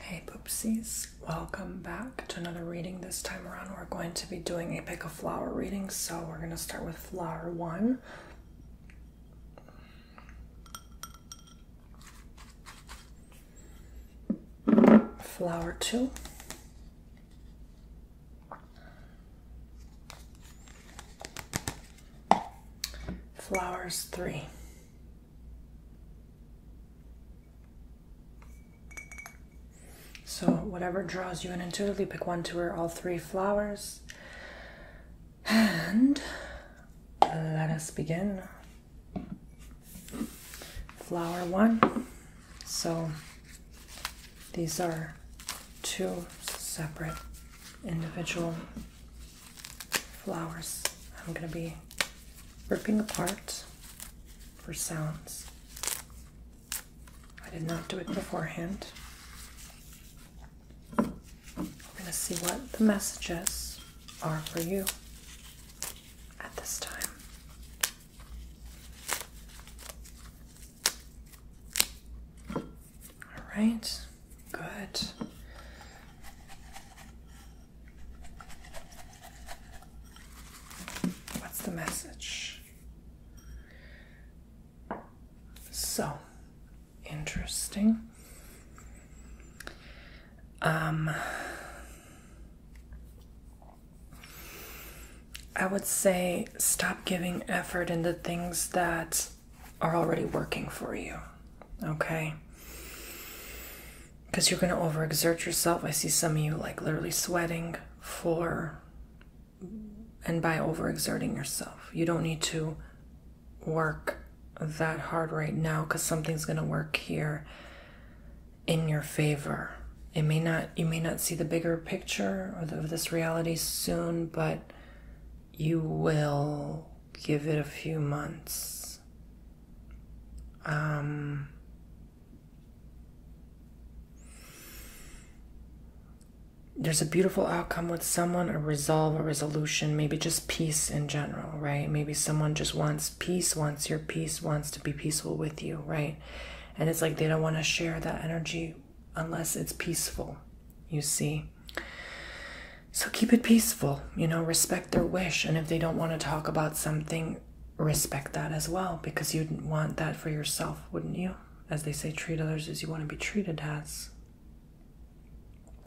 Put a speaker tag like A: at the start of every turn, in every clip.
A: Hey poopsies, welcome back to another reading. This time around, we're going to be doing a pick a flower reading, so we're going to start with flower one. Flower two. Flowers three. So, whatever draws you in intuitively, pick one, to or all three flowers. And let us begin. Flower one. So, these are two separate individual flowers I'm going to be ripping apart for sounds. I did not do it beforehand. I'm going to see what the messages are for you at this time. All right, good. What's the message? So interesting. Um, I would say stop giving effort into things that are already working for you. Okay? Because you're going to overexert yourself. I see some of you like literally sweating for and by overexerting yourself. You don't need to work that hard right now because something's going to work here in your favor. It may not, you may not see the bigger picture of this reality soon, but you will give it a few months. Um, there's a beautiful outcome with someone, a resolve, a resolution, maybe just peace in general, right? Maybe someone just wants peace, wants your peace, wants to be peaceful with you, right? And it's like they don't want to share that energy unless it's peaceful, you see? So keep it peaceful, you know, respect their wish. And if they don't want to talk about something, respect that as well, because you'd want that for yourself, wouldn't you? As they say, treat others as you want to be treated as.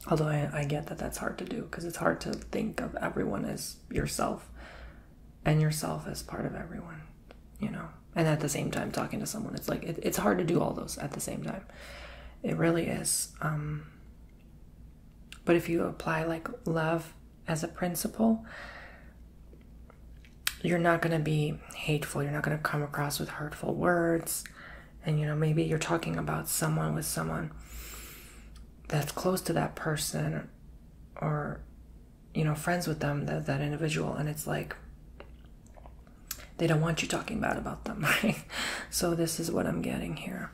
A: Although I, get that that's hard to do because it's hard to think of everyone as yourself and yourself as part of everyone, you know. And at the same time, talking to someone, it's like it's hard to do all those at the same time. It really is. Um, but if you apply like love as a principle, you're not going to be hateful. You're not going to come across with hurtful words. And you know, maybe you're talking about someone with someone that's close to that person or you know, friends with them, that, that individual and it's like they don't want you talking bad about them, So this is what I'm getting here.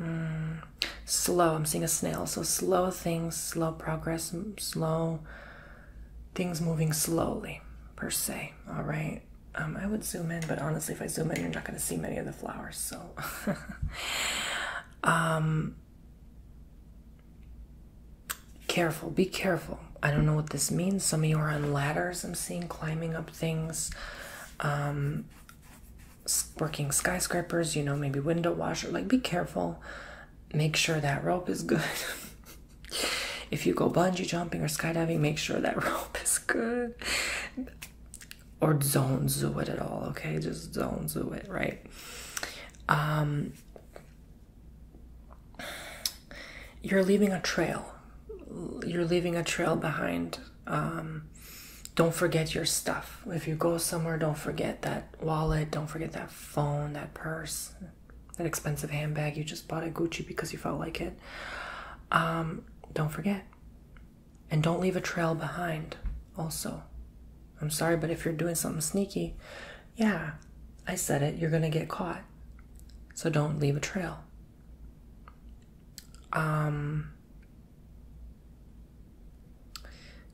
A: Mm. slow. I'm seeing a snail. So slow things, slow progress, slow things moving slowly, per se. All right. Um, I would zoom in, but honestly, if I zoom in, you're not going to see many of the flowers. So, um, careful. Be careful. I don't know what this means. Some of you are on ladders. I'm seeing climbing up things, um, working skyscrapers, you know, maybe window washer. Like, be careful. Make sure that rope is good. if you go bungee jumping or skydiving, make sure that rope is good. Or don't do it at all, okay? Just don't do it, right? Um, you're leaving a trail. You're leaving a trail behind. Um, don't forget your stuff. If you go somewhere, don't forget that wallet, don't forget that phone, that purse, that expensive handbag you just bought at Gucci because you felt like it. Um, don't forget. And don't leave a trail behind, also. I'm sorry, but if you're doing something sneaky, yeah, I said it, you're gonna get caught. So don't leave a trail. Um,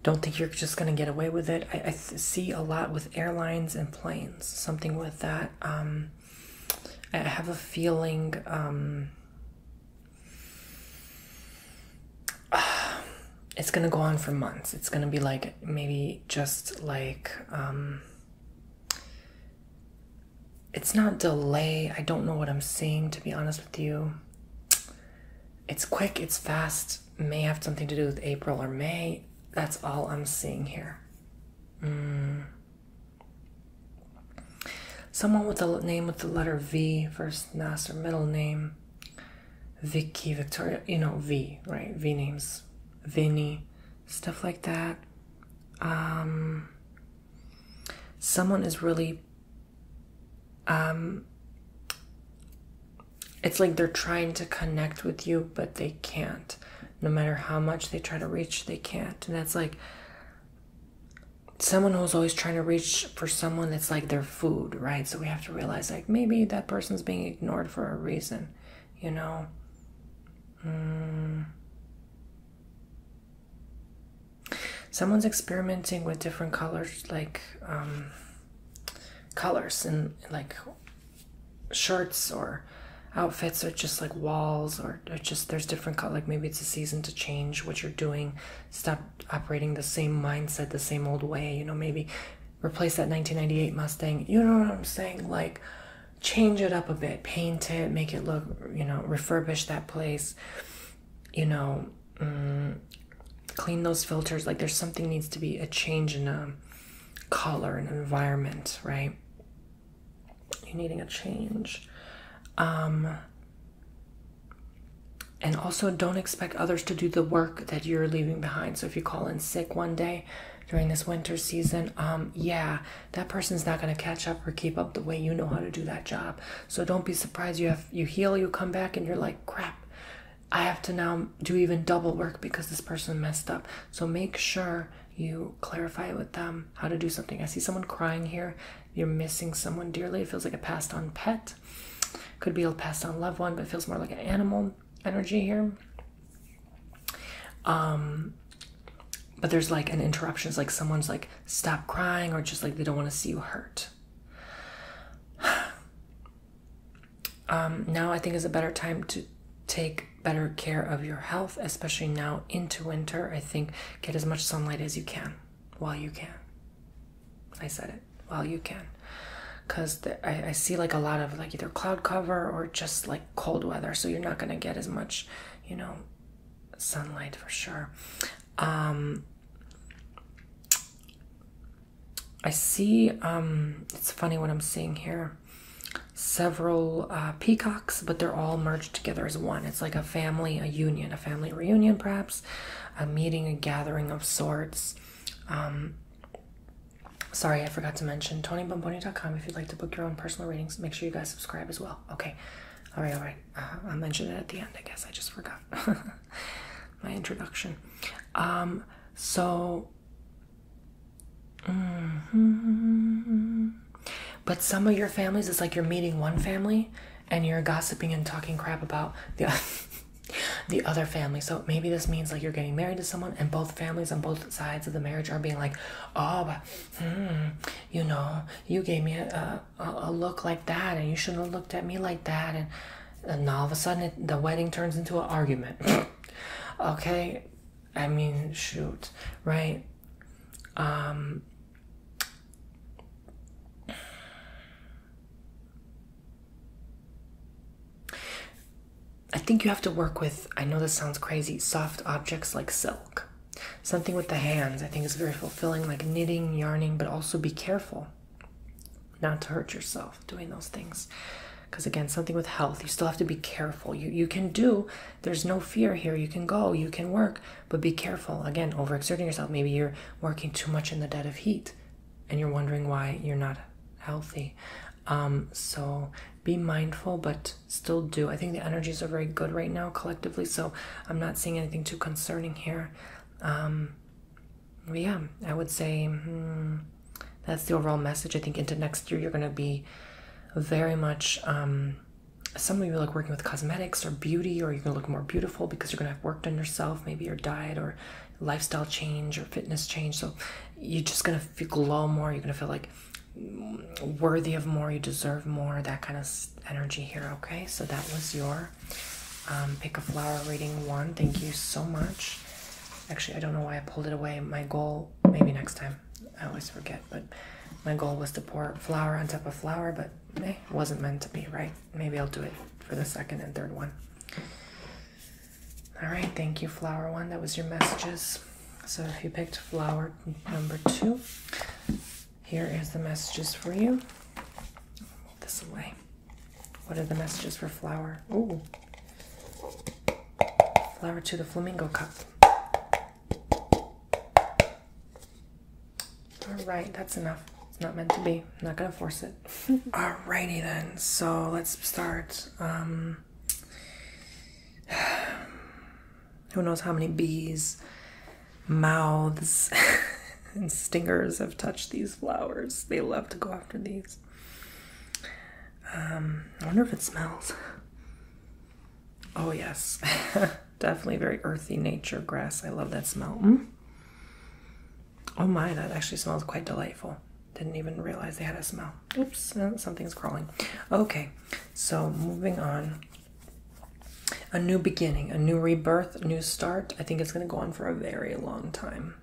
A: don't think you're just going to get away with it. I, see a lot with airlines and planes, something with that. Um, I have a feeling. Um, it's going to go on for months. It's going to be like maybe just like. Um, it's not delay. I don't know what I'm seeing, to be honest with you. It's quick, it's fast, may have something to do with April or May. That's all I'm seeing here. Mm. Someone with a name with the letter V, first, last, or middle name. Vicky, Victoria, you know, V, right? V names. Vinnie stuff like that. Um, someone is really. Um, it's like they're trying to connect with you, but they can't. No matter how much they try to reach, they can't. And that's like someone who's always trying to reach for someone that's like their food, right? So we have to realize like maybe that person's being ignored for a reason, you know? Mm. Someone's experimenting with different colors, like um, colors and like shirts or outfits or just like walls or, or just there's different color like maybe it's a season to change what you're doing stop operating the same mindset the same old way you know maybe replace that 1998 mustang you know what i'm saying like change it up a bit, paint it, make it look, you know, refurbish that place, you know, mm, clean those filters. Like there's something needs to be a change in a color and environment, right? You're needing a change. Um, and also don't expect others to do the work that you're leaving behind. So if you call in sick one day during this winter season, um, yeah, that person's not going to catch up or keep up the way you know how to do that job so don't be surprised you have you heal you come back and you're like crap i have to now do even double work because this person messed up so make sure you clarify with them how to do something i see someone crying here you're missing someone dearly it feels like a passed on pet could be a passed on loved one but feels more like an animal energy here um, but there's like an interruption. It's like someone's like, stop crying, or just like they don't want to see you hurt. um, now I think is a better time to take better care of your health, especially now into winter. I think get as much sunlight as you can while you can. I said it while you can. Because I, I see like a lot of like either cloud cover or just like cold weather, so you're not going to get as much you know, sunlight for sure. Um, I see, um, it's funny what I'm seeing here several uh, peacocks, but they're all merged together as one. It's like a family, a union, a family reunion, perhaps, a meeting, a gathering of sorts. Um, sorry, I forgot to mention TonyBomboni.com if you'd like to book your own personal readings. Make sure you guys subscribe as well. Okay. All right. All right. Uh, I'll mention it at the end. I guess I just forgot my introduction. Um. So. -hmm. But some of your families, it's like you're meeting one family, and you're gossiping and talking crap about the. the other family so maybe this means like you're getting married to someone and both families on both sides of the marriage are being like oh but mm, you know, you gave me a, a, look like that, and you shouldn't have looked at me like that, and, and all of a sudden the wedding turns into an argument. okay, I mean, shoot, right? Um, I think you have to work with, I know this sounds crazy, soft objects like silk. Something with the hands, I think, is very fulfilling, like knitting, yarning, but also be careful not to hurt yourself doing those things. Because again, something with health, you still have to be careful. You, you can do, there's no fear here. You can go, you can work, but be careful. Again, overexerting yourself. Maybe you're working too much in the dead of heat and you're wondering why you're not healthy um, so be mindful, but still do. I think the energies are very good right now collectively, so I'm not seeing anything too concerning here. Um, yeah, I would say hmm, that's the overall message. I think into next year, you're going to be very much. Um, some of you like working with cosmetics or beauty, or you're gonna look more beautiful because you're gonna have worked on yourself, maybe your diet or lifestyle change or fitness change. So you're just gonna feel glow more. You're gonna feel like worthy of more, you deserve more, that kind of energy here, okay? So that was your um, pick a flower reading one. Thank you so much. Actually, I don't know why I pulled it away. My goal, maybe next time, I always forget, but my goal was to pour flower on top of flower, but eh, it wasn't meant to be, right? Maybe I'll do it for the second and third one. All right, thank you, flower one. That was your messages. So if you picked flower number two, here is the messages for you. this away. What are the messages for flower? Ooh. Flower to the flamingo cup. All right, that's enough. It's not meant to be. not gonna force it. Alrighty then. So let's start. Um, who knows how many bees, mouths, and stingers have touched these flowers. They love to go after these. Um, I wonder if it smells. Oh, yes. Definitely very earthy nature grass. I love that smell. Mm. Oh, my, that actually smells quite delightful. Didn't even realize they had a smell. Oops, something's crawling. Okay, so moving on. A new beginning, a new rebirth, a new start. I think it's going to go on for a very long time.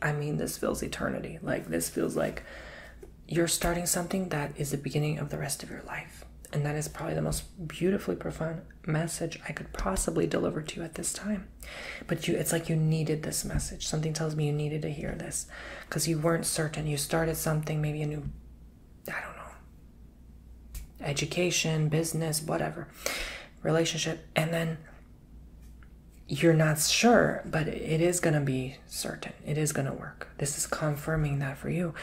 A: I mean, this feels eternity. Like, this feels like you're starting something that is the beginning of the rest of your life. And that is probably the most beautifully profound message I could possibly deliver to you at this time. But you it's like you needed this message. Something tells me you needed to hear this because you weren't certain. You started something, maybe a new, I don't know, education, business, whatever, relationship, and then you're not sure, but it is going to be certain. It is going to work. This is confirming that for you.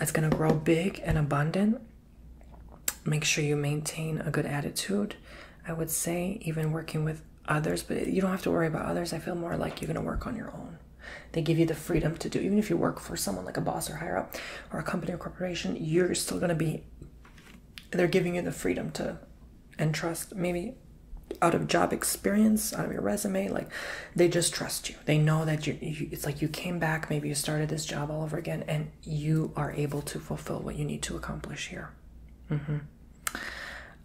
A: It's going to grow big and abundant. Make sure you maintain a good attitude. I would say, even working with others, but you don't have to worry about others. I feel more like you're going to work on your own. They give you the freedom to do, even if you work for someone like a boss or higher up or a company or corporation, you're still going to be, they're giving you the freedom to, and trust, maybe out of job experience, out of your resume, like they just trust you. They know that you, it's like you came back, maybe you started this job all over again, and you are able to fulfill what you need to accomplish here. Mm -hmm.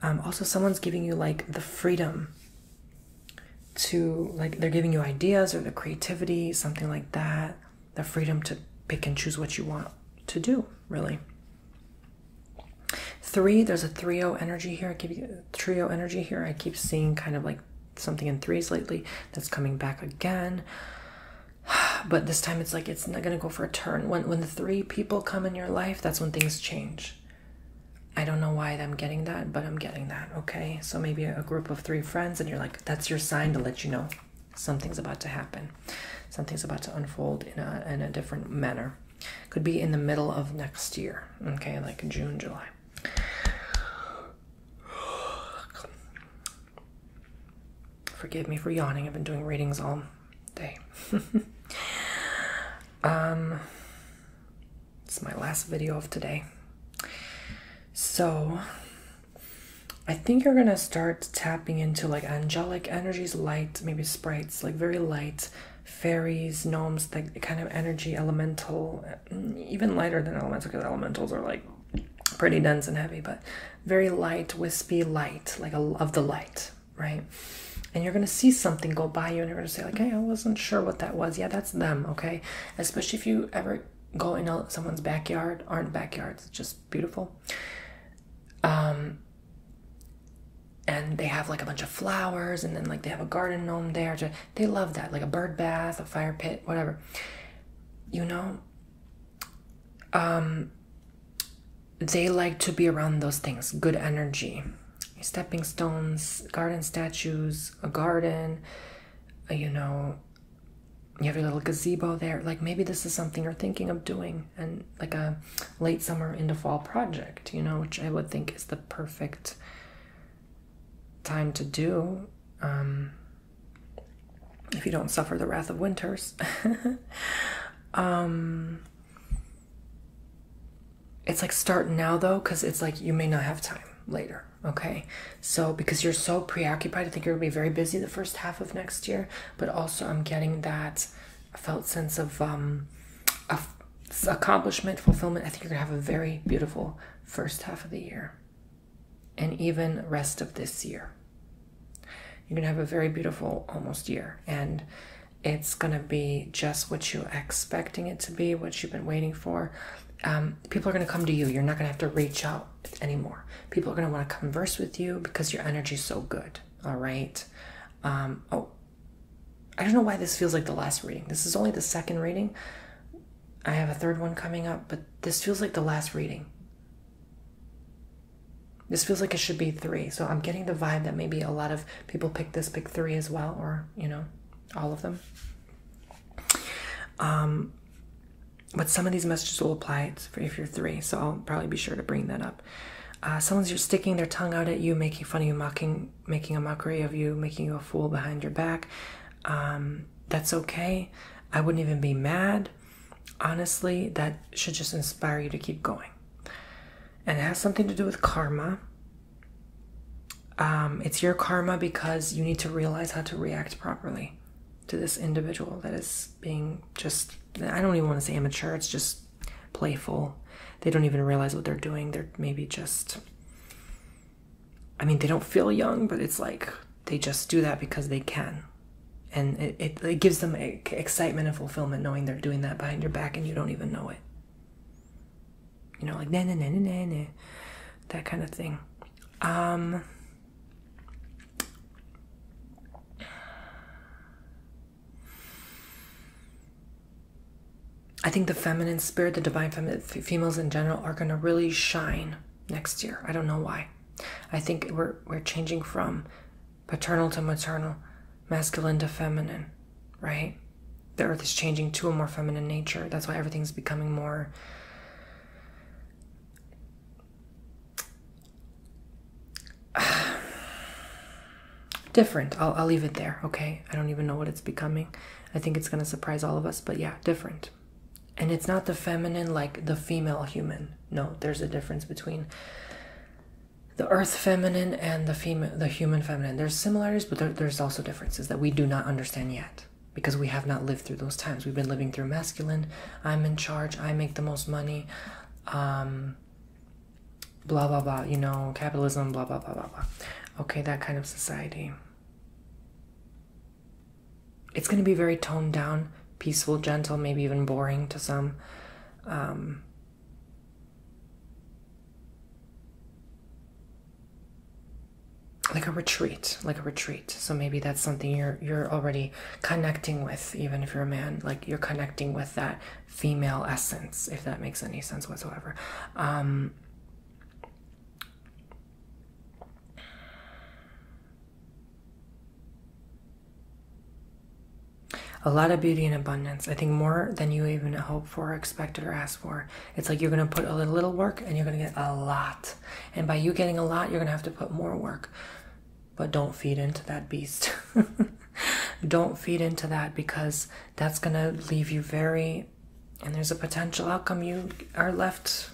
A: Um, also, someone's giving you like the freedom to, like, they're giving you ideas or the creativity, something like that, the freedom to pick and choose what you want to do, really. Three, there's a trio oh energy here. I keep trio oh energy here. I keep seeing kind of like something in threes lately that's coming back again. But this time it's like it's not gonna go for a turn. When when three people come in your life, that's when things change. I don't know why I'm getting that, but I'm getting that, okay? So maybe a group of three friends, and you're like, that's your sign to let you know something's about to happen. Something's about to unfold in a, in a different manner. Could be in the middle of next year, okay? Like June, July. Forgive me for yawning. I've been doing readings all day. Um, it's my last video of today. So, I think you're gonna start tapping into like angelic energies, light, maybe sprites, like very light fairies, gnomes, like kind of energy, elemental, mm, even lighter than elemental because elementals are like pretty dense and heavy, but very light, wispy light, like a, of the light, right? And you're gonna see something go by you, and you're gonna say like, "Hey, I wasn't sure what that was." Yeah, that's them, okay? Especially if you ever go in someone's backyard. Aren't backyards just beautiful? Um, and they have like a bunch of flowers, and then like they have a garden gnome there. They love that, like a bird bath, a fire pit, whatever. You know. Um, they like to be around those things good energy stepping stones garden statues a garden uh, you know you have your little gazebo there like maybe this is something you're thinking of doing and like a late summer into fall project you know which i would think is the perfect time to do um, if you don't suffer the wrath of winters um, it's like start now though, because it's like you may not have time later. Okay, so because you're so preoccupied, I think you're gonna be very busy the first half of next year. But also, I'm getting that felt sense of um, accomplishment, fulfillment. I think you're gonna have a very beautiful first half of the year, and even rest of this year. You're gonna have a very beautiful almost year, and it's gonna be just what you're expecting it to be, what you've been waiting for. Um, people are gonna come to you. You're not gonna have to reach out anymore. People are gonna want to converse with you because your energy's so good. All right. Um, oh, I don't know why this feels like the last reading. This is only the second reading. I have a third one coming up, but this feels like the last reading. This feels like it should be three. So I'm getting the vibe that maybe a lot of people pick this, pick three as well, or, you know, all of them. Um, but some of these messages will apply if you're three. So I'll probably be sure to bring that up. Uh, someone's just sticking their tongue out at you, making fun of you, mocking, making a mockery of you, making you a fool behind your back. Um, that's okay. I wouldn't even be mad. Honestly, that should just inspire you to keep going and it has something to do with karma. Um, it's your karma because you need to realize how to react properly to this individual that is being just, I don't even want to say immature, it's just playful. They don't even realize what they're doing. They're maybe just, I mean, they don't feel young, but it's like they just do that because they can. And it, it, it gives them a, excitement and fulfillment knowing they're doing that behind your back and you don't even know it. You know, like na na na na na that kind of thing. Um, I think the feminine spirit, the divine feminine, females in general, are going to really shine next year. I don't know why. I think we're we're changing from paternal to maternal, masculine to feminine, right? The earth is changing to a more feminine nature. That's why everything's becoming more. different. I'll, I'll leave it there, okay? I don't even know what it's becoming. I think it's gonna surprise all of us, but yeah, different. And it's not the feminine like the female human. No, there's a difference between the earth feminine and the fema the human feminine there's similarities but there's also differences that we do not understand yet because we have not lived through those times we've been living through masculine i'm in charge i make the most money um, blah blah blah you know capitalism blah blah blah blah blah okay that kind of society it's going to be very toned down peaceful gentle maybe even boring to some um, like a retreat like a retreat so maybe that's something you're you're already connecting with even if you're a man like you're connecting with that female essence if that makes any sense whatsoever um a lot of beauty and abundance. I think more than you even hope for, expect, or ask for. It's like you're going to put a little work and you're going to get a lot. And by you getting a lot, you're going to have to put more work. But don't feed into that beast. don't feed into that because that's going to leave you very, and there's a potential outcome you are left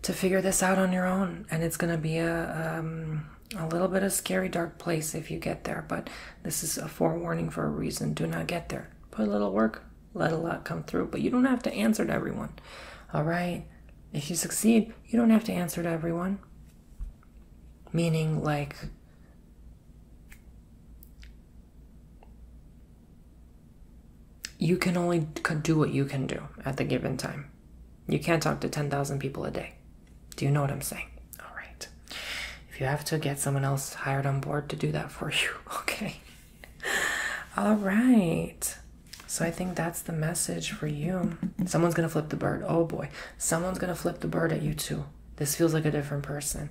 A: to figure this out on your own. And it's going to be a, um, a little bit of scary dark place if you get there, but this is a forewarning for a reason. Do not get there. Put a little work, let a lot come through, but you don't have to answer to everyone. All right. If you succeed, you don't have to answer to everyone. Meaning, like, you can only do what you can do at the given time. You can't talk to 10,000 people a day. Do you know what I'm saying? All right. If you have to, get someone else hired on board to do that for you. Okay. All right. So I think that's the message for you. Someone's going to flip the bird. Oh boy. Someone's going to flip the bird at you too. This feels like a different person.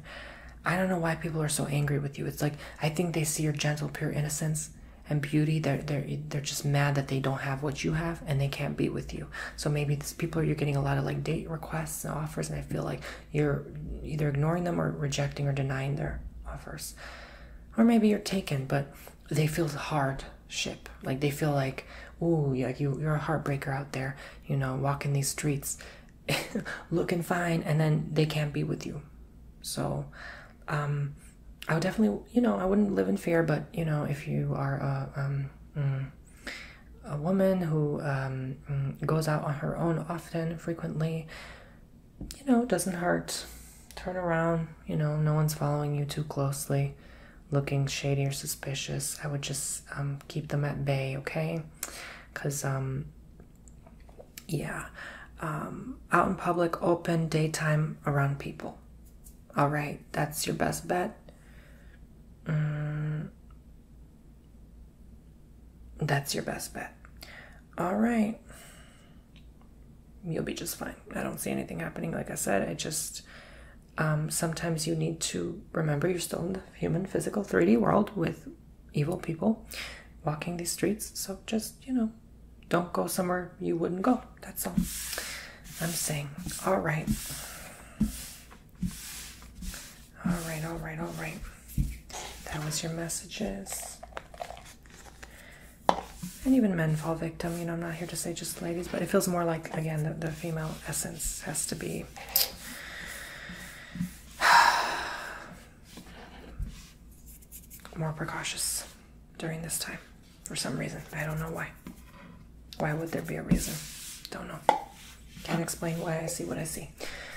A: I don't know why people are so angry with you. It's like I think they see your gentle, pure innocence and beauty. They're they're they're just mad that they don't have what you have and they can't be with you. So maybe these people you're getting a lot of like date requests and offers, and I feel like you're either ignoring them or rejecting or denying their offers, or maybe you're taken, but they feel hardship. Like they feel like, ooh, like you, you're a heartbreaker out there, you know, walking these streets, looking fine, and then they can't be with you. So, um, I would definitely, you know, I wouldn't live in fear, but you know, if you are a um, mm, a woman who um, goes out on her own often, frequently, you know, doesn't hurt. Turn around, you know, no one's following you too closely, looking shady or suspicious. I would just um, keep them at bay, okay? Because, um, yeah, out in public, open, daytime, around people. All right, that's your best bet. Mm, that's your best bet. All right. You'll be just fine. I don't see anything happening. Like I said, I just. Um, sometimes you need to remember you're still in the human physical 3D world with evil people walking these streets. So just, you know, don't go somewhere you wouldn't go. That's all I'm saying. All right. All right, all right, all right. That was your messages. And even men fall victim. You know, I'm not here to say just ladies, but it feels more like, again, the, the female essence has to be more precautious during this time for some reason. I don't know why. Why would there be a reason? Don't know. Can't explain why I see what I see.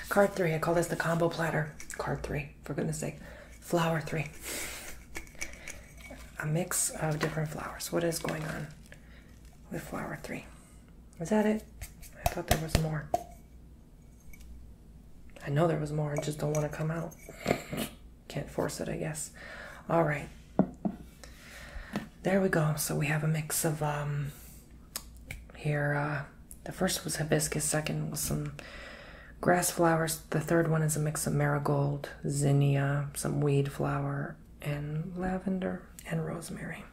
A: Card three. I call this the combo platter. Card three, for goodness sake. Flower three. A mix of different flowers. What is going on with flower three? Is that it? I thought there was more. I know there was more. I just don't want to come out can't force it, I guess. All right, there we go. So we have a mix of um, here. Uh, the first was hibiscus, second was some grass flowers. The third one is a mix of marigold, zinnia, some weed flower, and lavender and rosemary.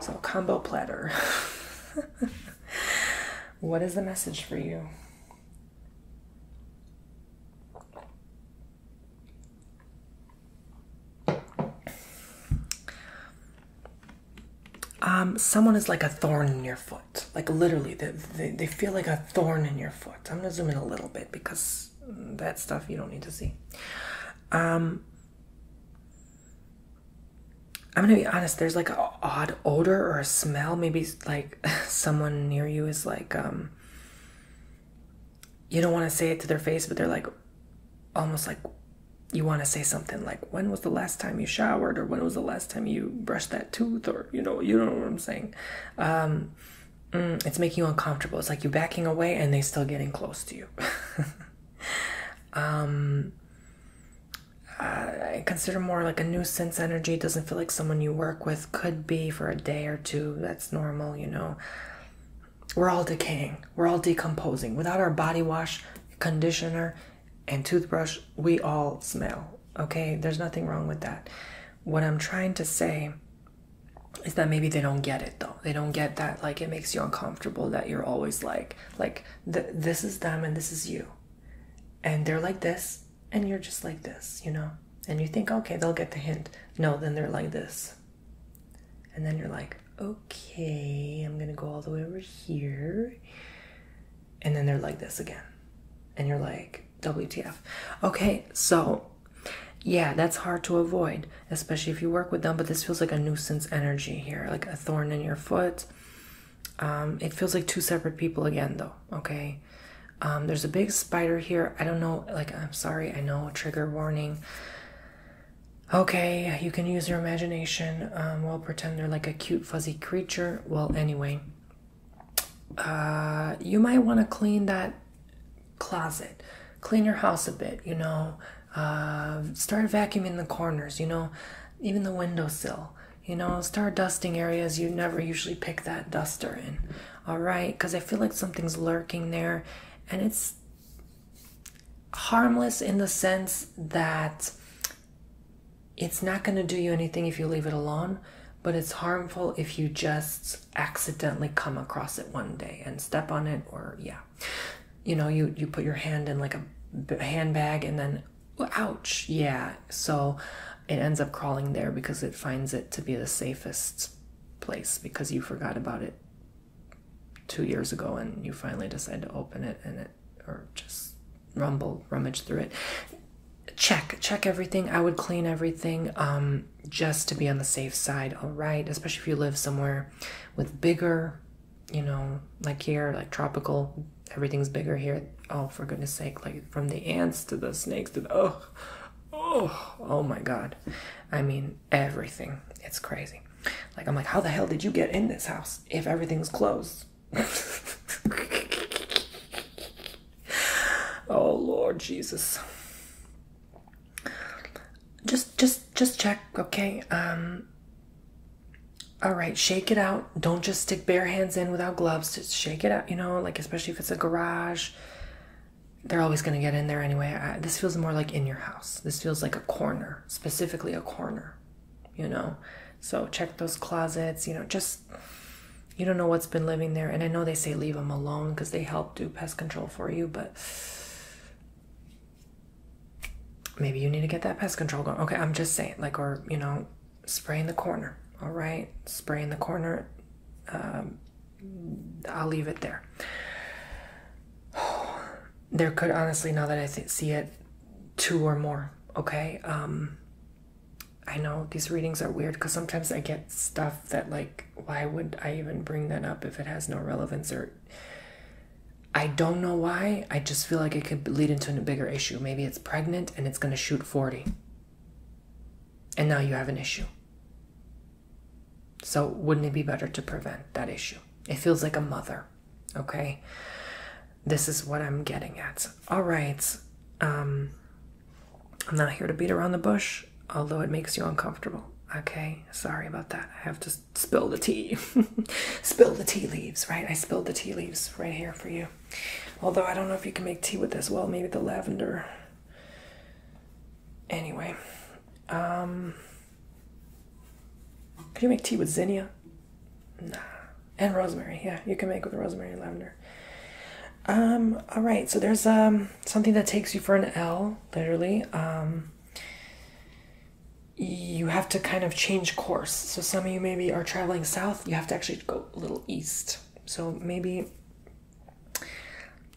A: So, combo platter. what is the message for you? Um, someone is like a thorn in your foot. Like literally, they, they, feel like a thorn in your foot. I'm gonna zoom in a little bit because that stuff you don't need to see. Um, I'm gonna be honest. There's like an odd odor or a smell. Maybe like someone near you is like um, you don't want to say it to their face, but they're like, almost like you want to say something like, when was the last time you showered? Or when was the last time you brushed that tooth? Or, you know, you don't know what I'm saying. Um, mm, it's making you uncomfortable. It's like you're backing away and they're still getting close to you. Um, I consider more like a nuisance energy. Doesn't feel like someone you work with. Could be for a day or two. That that's normal, you know. We're all decaying, we're all decomposing. Without our body wash, conditioner, and toothbrush, we all smell. Okay, there's nothing wrong with that. What I'm trying to say is that maybe they don't get it though. They don't get that like it makes you uncomfortable that you're always like like this is them and this is you. And they're like this and you're just like this, you know? And you think, okay, they'll get the hint. No, then they're like this. And then you're like, okay, I'm gonna go all the way over here. And then they're like this again. And you're like, WTF. Okay, so yeah, that's hard to avoid, especially if you work with them, but this feels like a nuisance energy here, like a thorn in your foot. Um, it feels like two separate people again, though, okay? Um, there's a big spider here. I don't know. Like, I'm sorry. I know. Trigger warning. Okay, you can use your imagination. Um, we'll pretend they're like a cute, fuzzy creature. Well, anyway, uh, you might want to clean that closet, clean your house a bit, you know. Uh, start vacuuming the corners, you know, even the windowsill. You know, start dusting areas you never usually pick that duster in all right because i feel like something's lurking there and it's harmless in the sense that it's not going to do you anything if you leave it alone but it's harmful if you just accidentally come across it one day and step on it or yeah you know you you put your hand in like a handbag and then ouch yeah so it ends up crawling there because it finds it to be the safest place because you forgot about it two years ago and you finally decide to open it and it or just rumble rummage through it check check everything i would clean everything um just to be on the safe side all right especially if you live somewhere with bigger you know like here like tropical everything's bigger here oh for goodness sake like from the ants to the snakes to the oh oh, oh my god. I mean, everything. It's crazy. Like, I'm like, how the hell did you get in this house if everything's closed? oh Lord Jesus. Just just just check, okay? Um all right, shake it out. Don't just stick bare hands in without gloves. Just shake it out, you know, like especially if it's a garage they're always going to get in there anyway. this feels more like in your house. This feels like a corner, specifically a corner, you know. So check those closets, you know, just you don't know what's been living there. And I know they say leave them alone because they help do pest control for you, but maybe you need to get that pest control going. Okay, I'm just saying, like, or you know, spray in the corner, all right? Spray in the corner, um, I'll leave it there. there could honestly, now that I see it, two or more. Okay. Um, I know these readings are weird because sometimes I get stuff that, like, why would I even bring that up if it has no relevance? Or I don't know why. I just feel like it could lead into a bigger issue. Maybe it's pregnant and it's going to shoot 40. And now you have an issue. So, wouldn't it be better to prevent that issue? It feels like a mother, okay? This is what I'm getting at. All right. Um, I'm not here to beat around the bush, although it makes you uncomfortable. Okay, sorry about that. I have to spill the tea. spill the tea leaves, right? I spilled the tea leaves right here for you. Although I don't know if you can make tea with this. Well, maybe the lavender Anyway, um, could you make tea with zinnia? Nah. And rosemary. Yeah, you can make with rosemary and lavender. Um, all right. So there's um something that takes you for an L, literally. Um, you have to kind of change course. So some of you maybe are traveling south. You have to actually go a little east. So maybe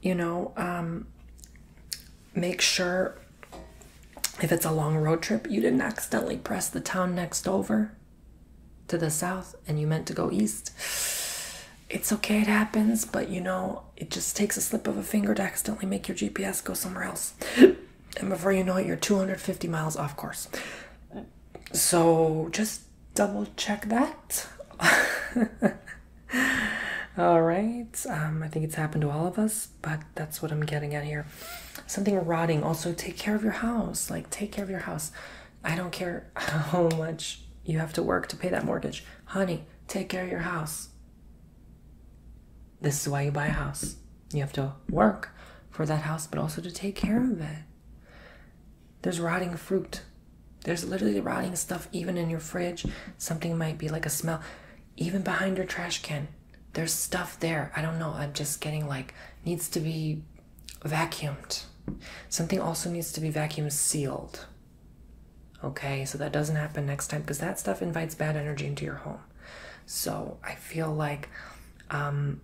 A: you know, um, make sure if it's a long road trip, you didn't accidentally press the town next over to the south and you meant to go east. It's okay, it happens, but you know, it just takes a slip of a finger to accidentally make your GPS go somewhere else. and before you know it, you're 250 miles off course. So just double check that. all right, um, I think it's happened to all of us, but that's what I'm getting at here. Something rotting. Also, take care of your house. Like, take care of your house. I don't care how much you have to work to pay that mortgage. Honey, take care of your house. This is why you buy a house. You have to work for that house, but also to take care of it. There's rotting fruit. There's literally rotting stuff even in your fridge. Something might be like a smell. Even behind your trash can, there's stuff there. I don't know. I'm just getting like, needs to be vacuumed. Something also needs to be vacuum sealed. Okay, so that doesn't happen next time because that stuff invites bad energy into your home. So I feel like um,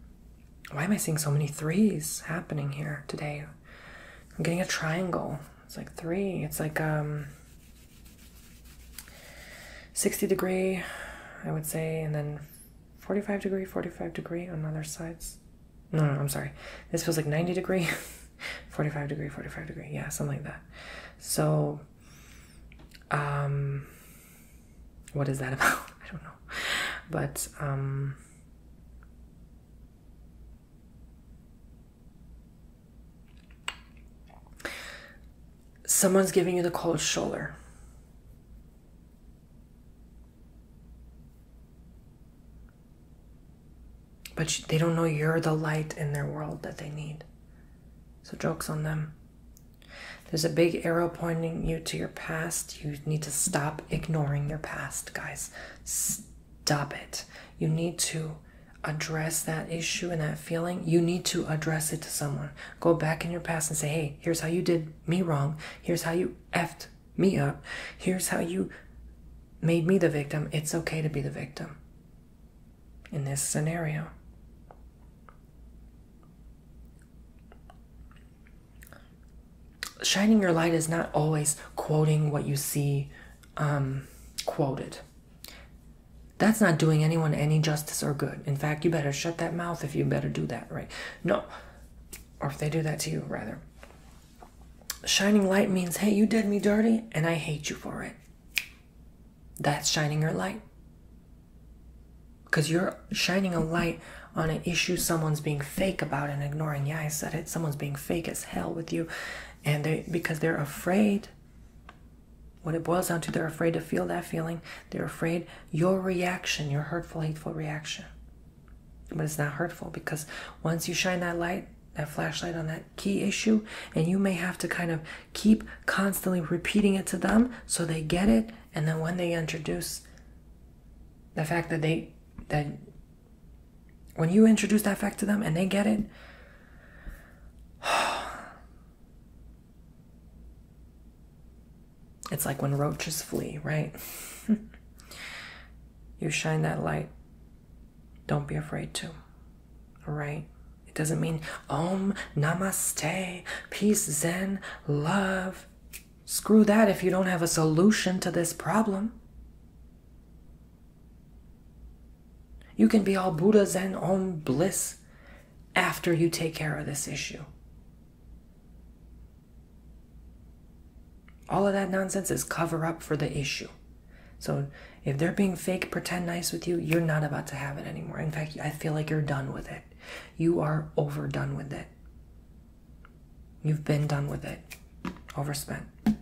A: why am I seeing so many threes happening here today? I'm getting a triangle. It's like three. It's like um 60 degree, I would say, and then 45 degree, 45 degree on other sides. No, no, I'm sorry. This was like 90 degree, 45 degree, 45 degree. Yeah, something like that. So, um, what is that about? I don't know. But, um, Someone's giving you the cold shoulder. But they don't know you're the light in their world that they need. So, joke's on them. There's a big arrow pointing you to your past. You need to stop ignoring your past, guys. Stop it. You need to address that issue and that feeling. You need to address it to someone. Go back in your past and say, hey, here's how you did me wrong. Here's how you effed me up. Here's how you made me the victim. It's okay to be the victim in this scenario shining your light is not always quoting what you see um, quoted. That's not doing anyone any justice or good. In fact, you better shut that mouth if you better do that, right? No. Or if they do that to you, rather. Shining light means, hey, you did me dirty and I hate you for it. That's shining your light. Because you're shining a light on an issue someone's being fake about and ignoring. Yeah, I said it. Someone's being fake as hell with you, and they because they're afraid. What it boils down to, they're afraid to feel that feeling. They're afraid your reaction, your hurtful, hateful reaction. But it's not hurtful because once you shine that light, that flashlight on that key issue, and you may have to kind of keep constantly repeating it to them so they get it. And then when they introduce the fact that they that when you introduce that fact to them and they get it it's like when roaches flee right you shine that light don't be afraid to all right it doesn't mean om namaste peace zen love Screw that if you don't have a solution to this problem. You can be all Buddha, Zen, on bliss after you take care of this issue. All of that nonsense is cover up for the issue. So if they're being fake, pretend nice with you, you're not about to have it anymore. In fact, I feel like you're done with it. You are overdone with it. You've been done with it, overspent. And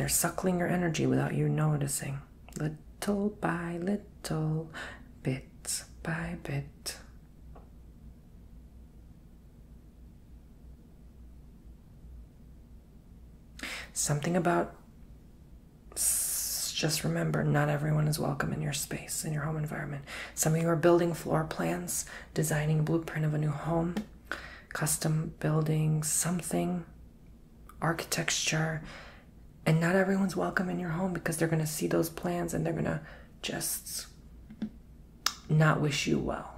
A: they're suckling your energy without you noticing, little by little, bit by bit. Something about just remember not everyone is welcome in your space, in your home environment. Some of you are building floor plans, designing blueprint of a new home, custom building something, architecture. And not everyone's welcome in your home because they're going to see those plans and they're going to just not wish you well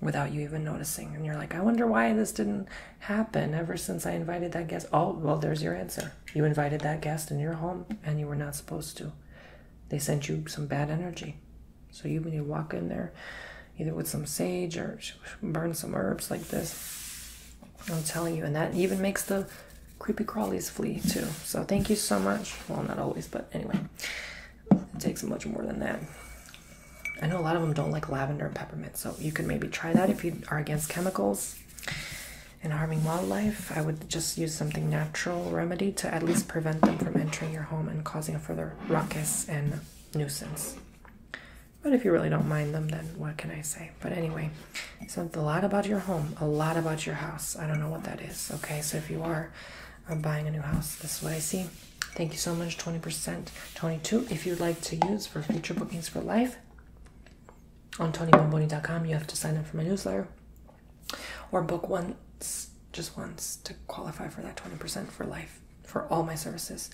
A: without you even noticing. And you're like, I wonder why this didn't happen ever since I invited that guest. Oh, well, there's your answer. You invited that guest in your home and you were not supposed to. They sent you some bad energy. So you need to walk in there either with some sage or burn some herbs like this. I'm telling you, and that even makes the creepy crawlies flee too. So thank you so much. Well, not always, but anyway, it takes much more than that. I know a lot of them don't like lavender and peppermint, so you could maybe try that if you are against chemicals and harming wildlife, I would just use something natural remedy to at least prevent them from entering your home and causing a further ruckus and nuisance. But if you really don't mind them, then what can I say? But anyway, so it's a lot about your home, a lot about your house. I don't know what that is. Okay, so if you are uh, buying a new house, this is what I see. Thank you so much, 20%, 22 If you'd like to use for future bookings for life, on TonyBomboni.com. You have to sign up for my newsletter or book once, just once, to qualify for that 20% for life for all my services.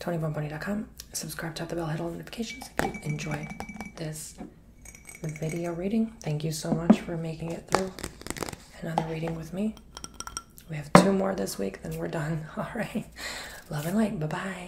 A: TonyBomboni.com. Subscribe, tap the bell, hit all notifications if you enjoy this video reading. Thank you so much for making it through another reading with me. We have two more this week, then we're done. All right. Love and light. Bye bye.